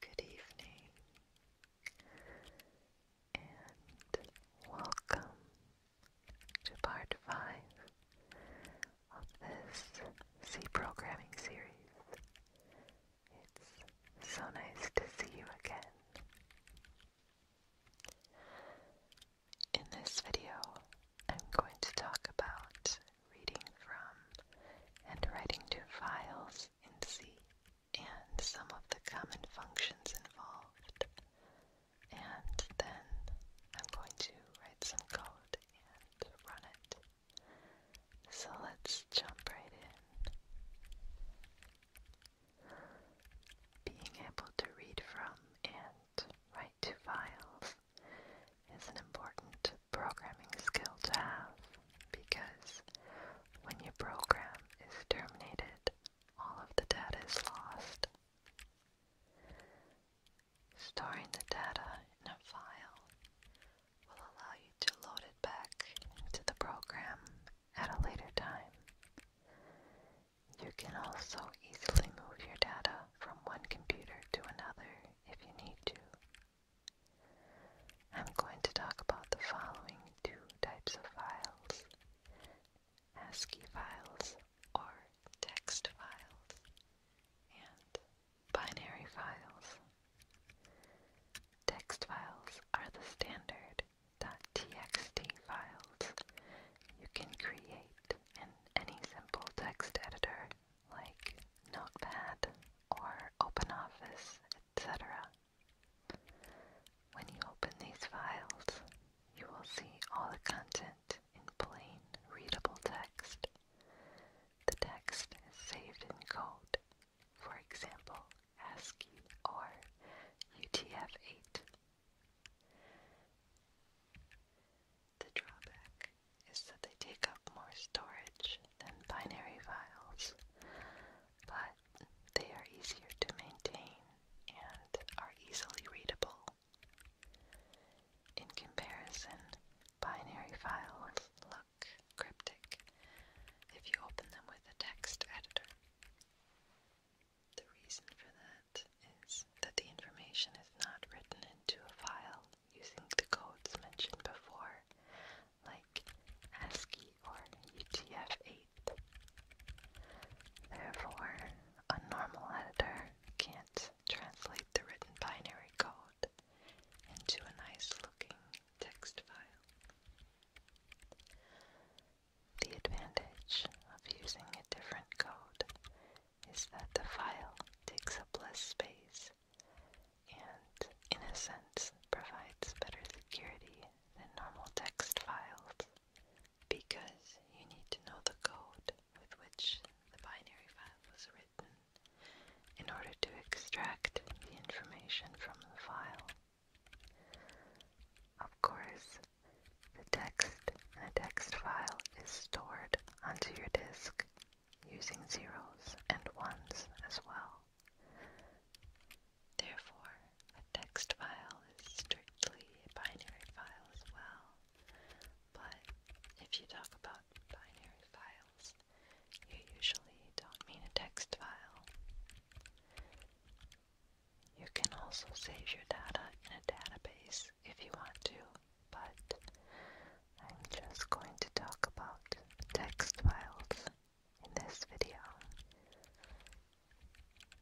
Good evening and welcome to part 5 of this C programming series. It's so nice to see you again. In this video, I'm going to talk about reading from and writing to files in C and some of the common functions involved. And then I'm going to write some code and run it. So let's jump right in. Being able to read from and write to files is an important programming skill to have because when your program is terminated, all of the data is lost. Storing the data in a file will allow you to load it back into the program at a later time. You can also easily move your data from one computer to another if you need to. I'm going to talk about the following two types of files, ASCII files or text files, and binary files. Text files are the standard .txt files you can create in any simple text editor like Notepad or OpenOffice, etc. When you open these files, you will see all the content in plain, readable text. The text is saved in code for example ASCII or UTF-8. The drawback is that they take up more storage than binary files, but they are easier to maintain and are easily readable. In comparison, binary files look cryptic if you open them with a text editor. The reason for that is that the information is not written into a file using the codes mentioned before, like ASCII or UTF-8. Therefore, a normal editor can't translate the written binary code into a nice looking the advantage of using a different code is that the file takes up less space and, in a sense, provides better security than normal text files because you need to know the code with which the binary file was written in order to extract the information from the file. Of course, the text in text file is stored onto your disk using zeros and ones as well. Therefore, a text file is strictly a binary file as well. But if you talk about binary file, you usually don't mean a text file. You can also save your data in a database if you want to, but I'm just going to talk about text files in this video.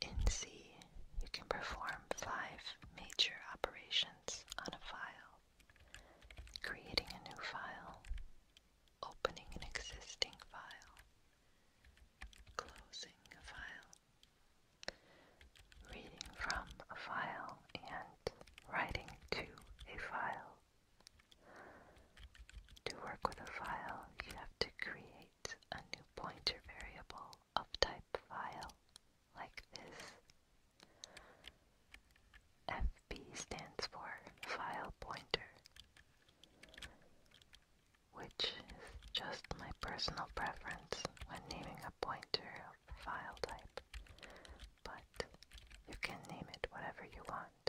In C, you can perform five major operations on a file. Creating a new file, opening an existing file, closing a file, reading from a file, and writing to a file. To work with a file, you have to create a new pointer variable of type file, like this FP stands for file pointer, which is just my personal preference when naming a pointer of file type, but you can name it whatever you want.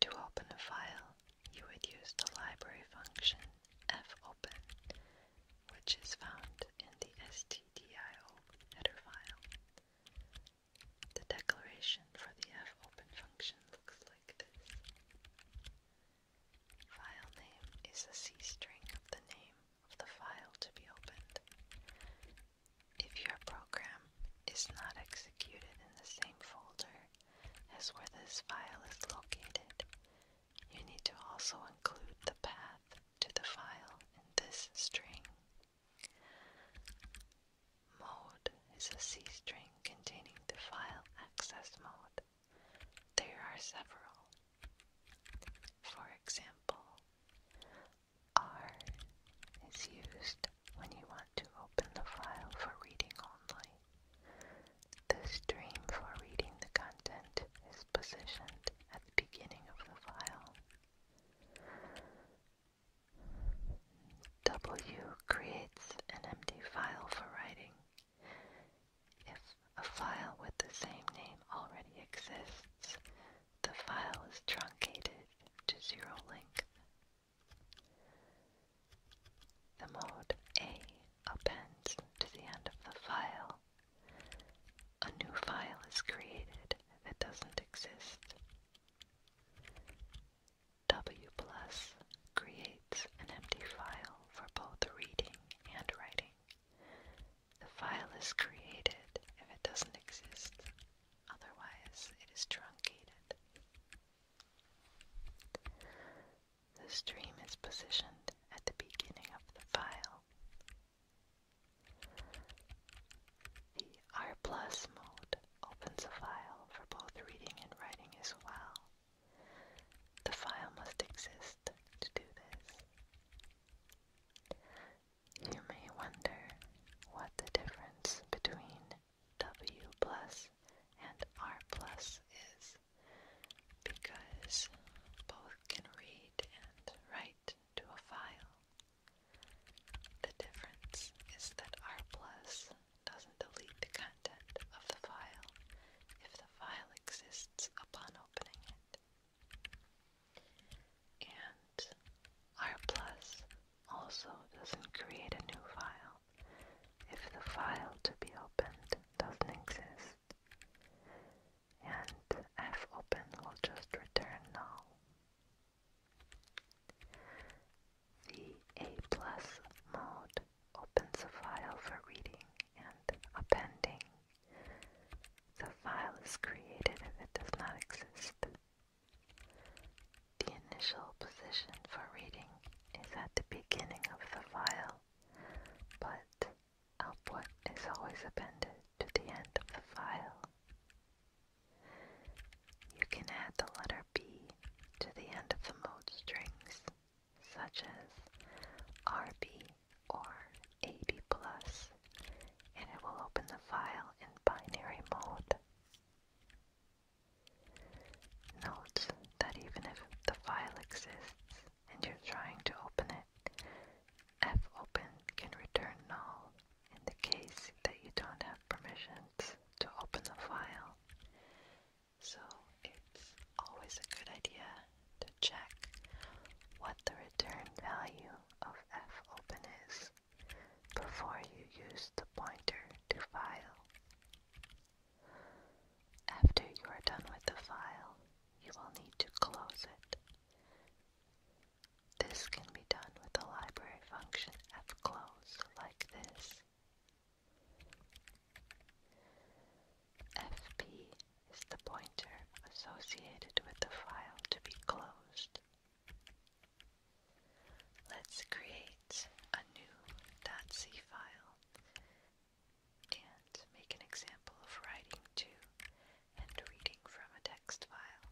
To open a file, you would use the library function fopen, which is found in the std. The declaration for the fopen function looks like this. File name is a C string of the name of the file to be opened. If your program is not executed in the same folder as where this file is located, you need to also include the path to the file in this string. Mode is a C string containing the file access mode. There are several. For example, R is used when you want to open the file for reading only. The stream for reading the content is positioned at W creates an empty file for writing. If a file with the same name already exists, the file is truncated to zero length. The mode A appends to the end of the file, a new file is created that doesn't exist. W plus creates an empty file for both reading and writing. The file is created if it doesn't exist, otherwise it is truncated. The stream is positioned at the beginning of the file. The R mode opens a file for both reading and writing as well. The file must exist to do this. You may wonder what the difference between W plus and R is because both can read and write to a file. The difference is that R plus doesn't delete the content of the file if the file exists upon opening it. And R plus also doesn't create a new file if the file to be opened doesn't exist and fopen will just return now. The A plus mode opens a file for reading and appending. The file is created if it does not exist. The initial position for reading is at the beginning of the file, but output is always appended to the end of the file. You can add the letter B to the end of the mode strings, such as RB or AB+, and it will open the file in binary mode. Note that even if the file exists, and you're trying to open it, F open can return null in the case that you don't have permissions to open the file. So it's always a good idea to check what the return value of f open is before you use the pointer to file. After you are done with the file, you will need to close it. This can be done with the library function fclose like this. fp is the pointer associated with the file to be closed. Let's create a new .c file and make an example of writing to and reading from a text file.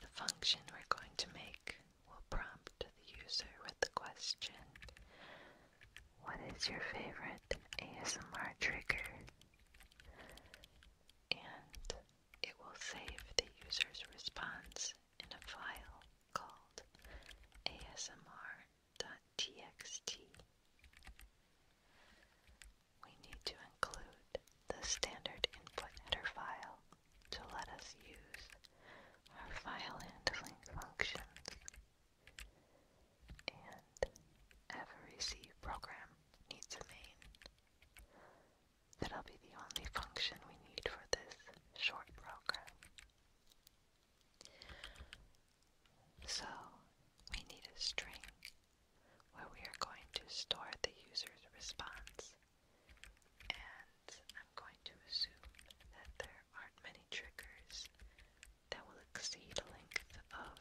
The function we're going to make will prompt the user with the question, What is your favorite ASMR trigger? And it will save the user's response in a file called ASMR.txt. We need to include the standard input header file to let us use our file handling functions. And every C program needs a main. That'll be the only function we need for this short program. So we need a string where we are going to store the user's response. And I'm going to assume that there aren't many triggers that will exceed a length of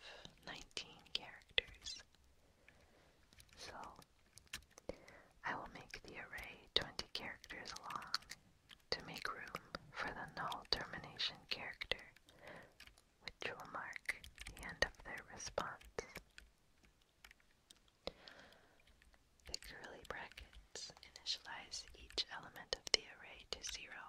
19 characters. So I will make the array 20 characters long to make room for the null termination character, which will mark the end of their response. The curly brackets initialize each element of the array to zero.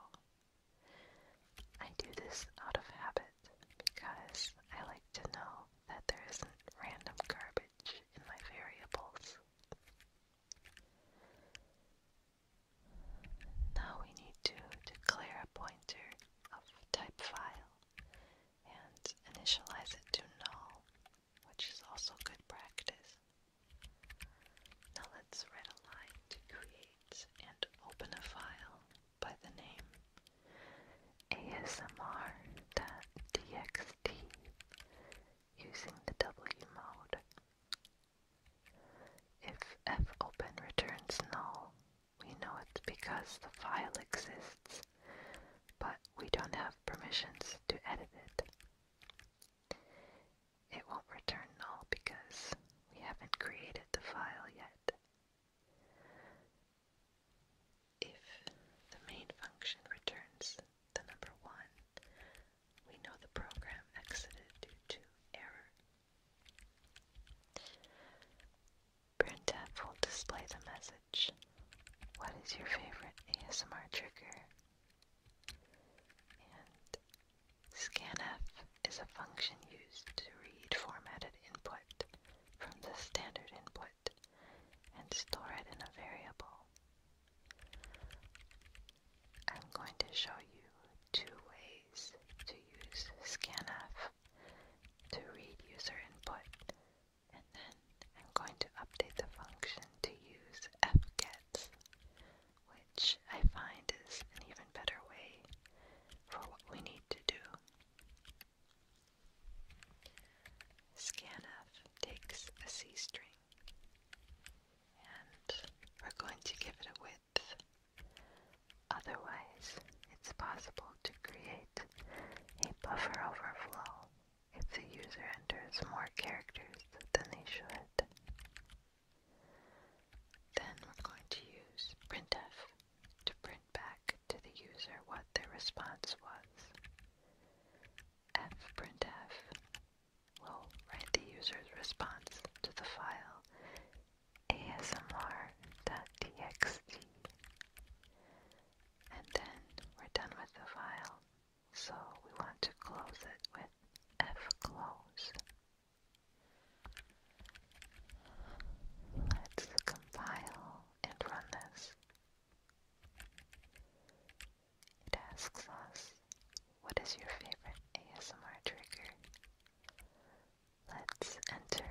I do this out of habit because I like to know that there isn't random garbage in my variables. Now we need to declare a pointer of type file and initialize it to null, which is also good practice. Now let's write a line to create and open a file by the name asmr.txt using the W mode. If fopen returns null, we know it's because the file exists, but we don't have permissions to edit it. It won't return null because we haven't created the file yet. If the main function returns the number 1, we know the program exited due to error. Printf will display the message, What is your favorite ASMR trigger? And scanf is a function used to read formatted input from the standard input and store it in a variable. I'm going to show you two ways to use scanf to read user input, and then I'm going to update the function to use fgets, which I find is an even better way for what we need to do. Scanf takes a C string and we're going to give it a width. Otherwise, it's possible to create a buffer overflow if the user enters more characters than they should. Then we're going to use printf to print back to the user what their response was. fprintf will write the user's response to the file asmr.txt. And then we're done with the file, so we want to close it with fclose. Let's compile and run this. It asks us, what is your favorite ASMR trigger? Let's enter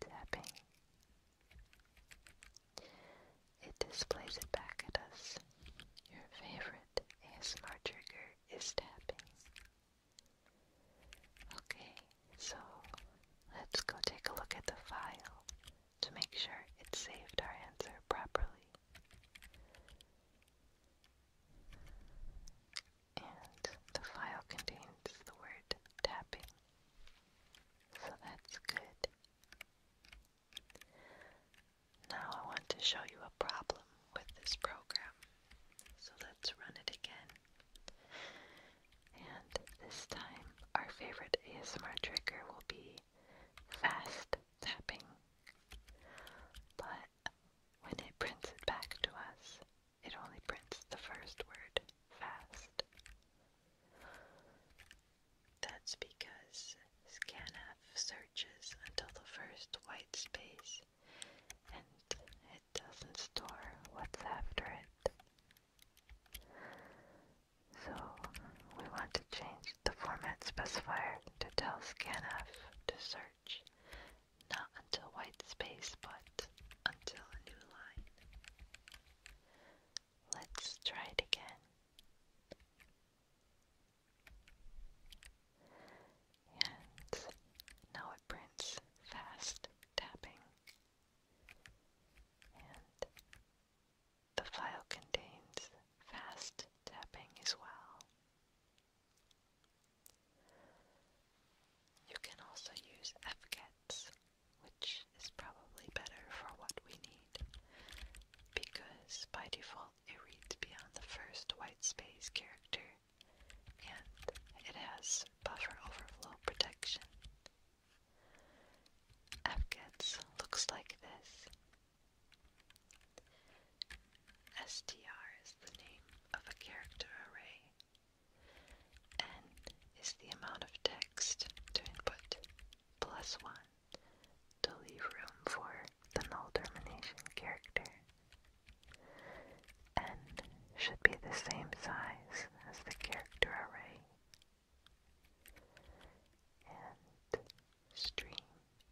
tapping. It displays it back at us. Your favorite ASMR trigger is tapping. Okay, so let's go take a look at the file to make sure it saved our answer properly. And the file contains the word tapping. So that's good. Now I want to show you a problem with this program. So let's run it again. And this time, our favorite ASMR trigger will be fast tapping. But when it prints it back to us, it only prints the first word, fast. That's because scanf searches until the first white space and it doesn't store what's after it. So we want to change the format specifier to tell scanf to search not until white space but until a new line. Let's try it again. And now it prints fast tapping and the file contains fast tapping as well. You can also use FGETs, which is probably better for what we need, because by default it reads beyond the first white space character and it has buffer overflow protection. FGETS looks like this. STR is the name of a character array. N is the amount of text to input, plus 1 to leave room for the null termination character and should be the same size as the character array. And stream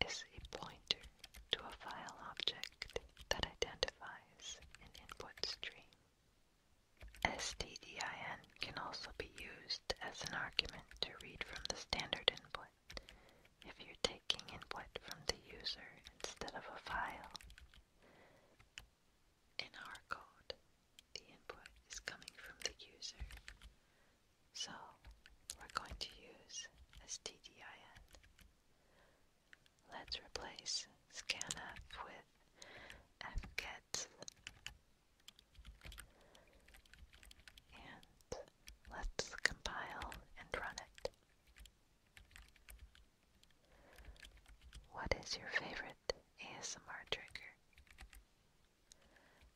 is a pointer to a file object that identifies an input stream. STDIN can also be used as an argument to read from the standard input if you're taking input from the user instead of a file. In our code, the input is coming from the user. So we're going to use stdin. Let's replace scanf with fget and let's compile and run it. What is your favorite ASMR trigger?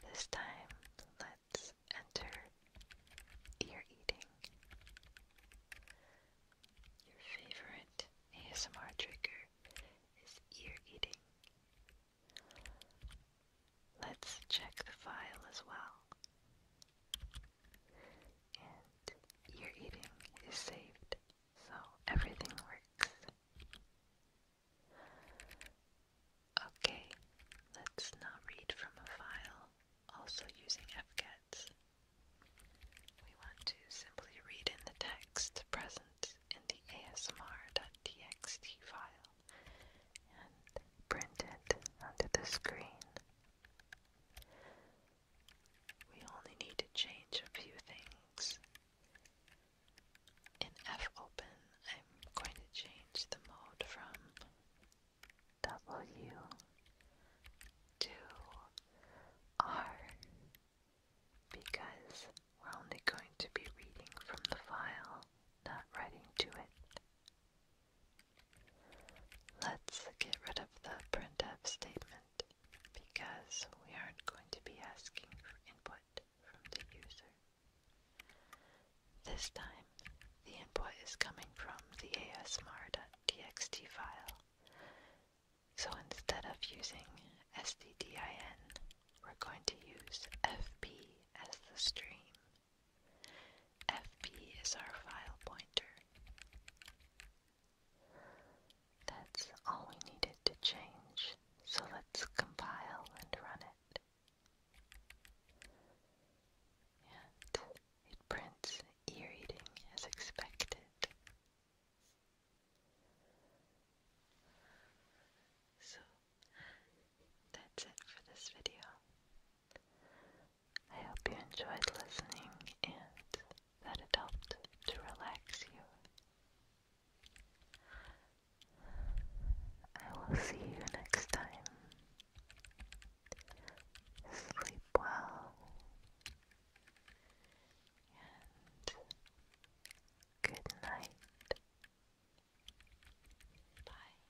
This time, let's enter ear eating. Your favorite ASMR trigger is ear eating. Let's check the file as well and your eating is saved, so everything works. Okay, let's now read from a file, also using FCATS. We want to simply read in the text present in the ASMR.txt file and print it onto the screen. We only need to change a few things. In fopen, I'm going to change the mode from W to R because we're only going to be reading from the file, not writing to it. Let's get rid of the printf statement because we aren't going to be asking for input from the user. This time, the input is coming from the asmr.txt file. So instead of using stdin, we're going to use fp as the stream. FP is our file pointer. That's all we needed to change, so let's compile and run it. And it prints ear eating as expected. So that's it for this video. I hope you enjoyed listening and that it helped to relax you. I will see you next time. Sleep well and good night. Bye.